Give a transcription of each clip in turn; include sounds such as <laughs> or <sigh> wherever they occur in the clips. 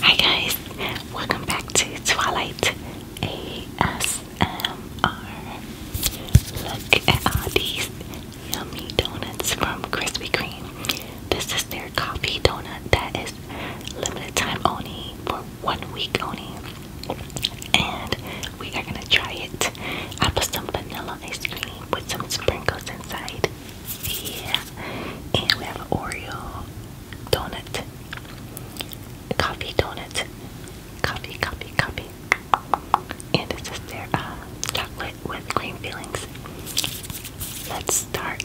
Hi guys, welcome back to Twilight ASMR. Look at all these yummy donuts from Krispy Kreme. This is their coffee donut that is limited time only for one week only. And we are gonna try it. I put some vanilla ice cream with some sprinkles inside. Yeah. And we have an Oreo donut. Coffee donut. Coffee, coffee, coffee. And this is their uh, chocolate with cream fillings. Let's start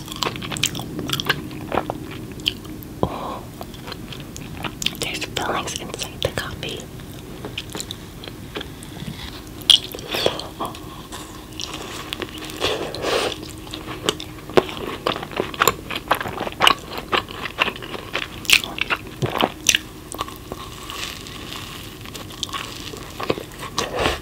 there's fillings inside the coffee.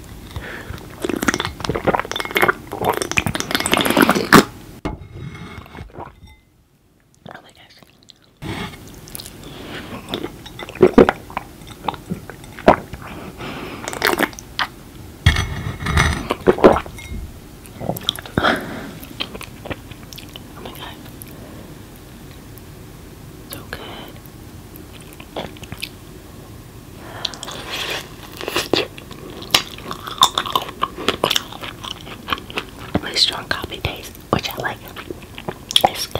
Oh my gosh. oh my god. So good. Really strong coffee taste, which I like. It's good.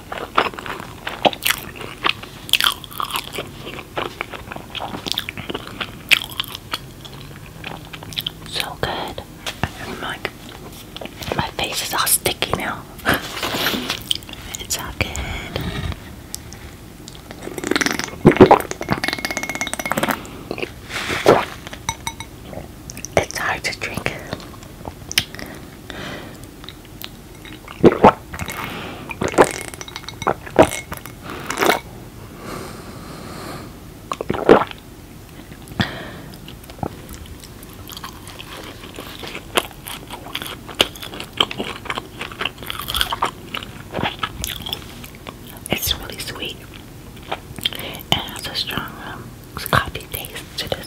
So good. my face is all sticky now. <laughs> it's all good. It's hard to drink. It's really sweet and has a strong um, coffee taste to it.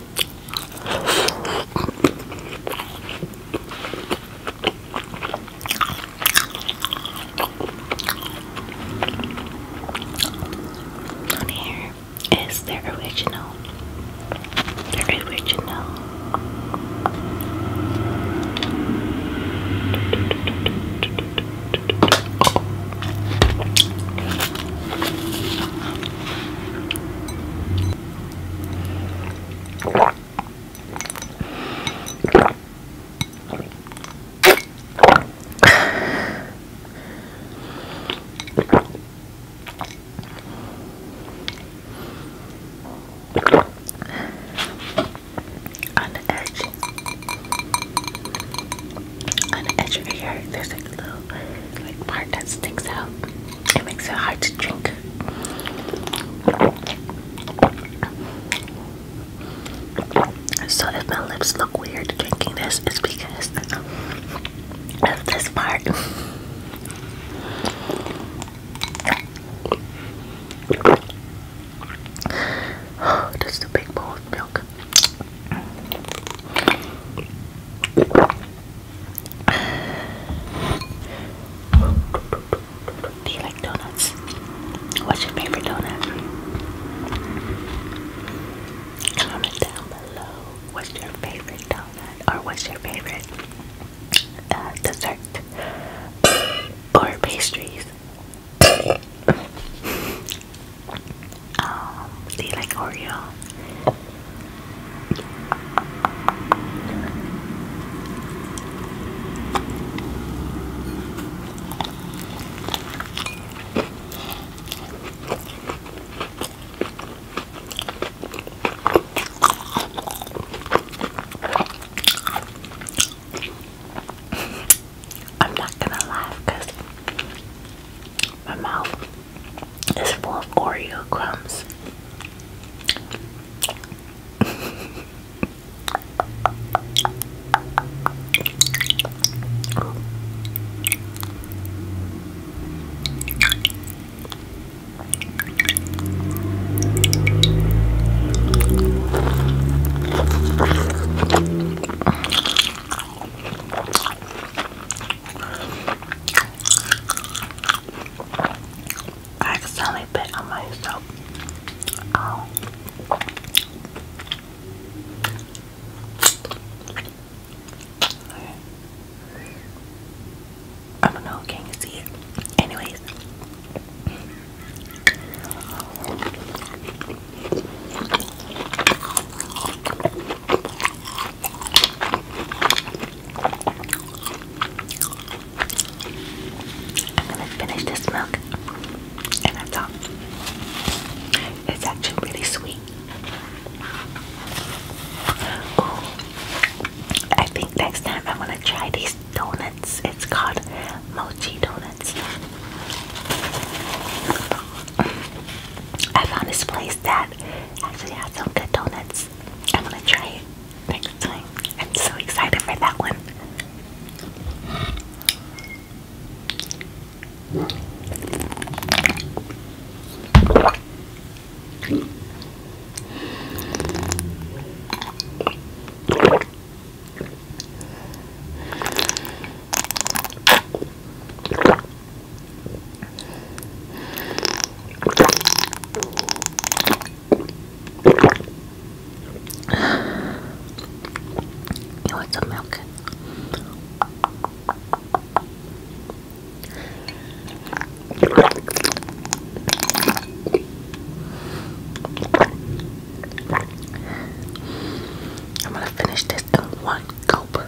On here is their original. Their original. On the edge, on the edge of there's like a little like part that sticks out. It makes it hard to drink. So if my lips look weird drinking this, it's because of this part. Oh, <gasps> this the big bowl of milk. Do you like donuts? What's your favorite donut? Comment down below. What's your favorite donut? Or what's your favorite uh, dessert? or pastries? <laughs> um, do you like Oreo? I'm not gonna laugh my mouth it's full of Oreo crumbs. I accidentally bit myself. Oh. I don't know, can you see it? Anyways. I'm gonna finish this milk and that's all. It's actually really sweet. I think next time I'm gonna try these donuts. It's called mochi donuts. I found this place that actually had some good donuts. I'm gonna try it next time. I'm so excited for that one. You want some I'm gonna finish this in one gulp.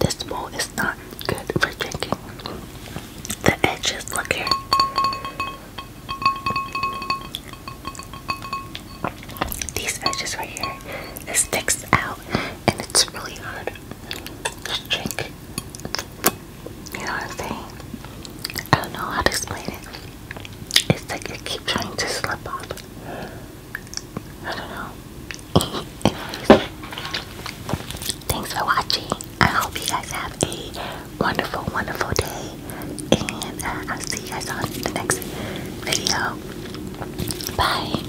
This bowl is not good for drinking. The edges, look here. These edges right here, it sticks out and it's really hard to drink. You know what I'm saying? I don't know how to explain it. It's like I keep trying to slip off. I don't know. <laughs> Anyways, thanks for watching. I hope you guys have a wonderful, wonderful day. And uh, I'll see you guys on the next video. Bye.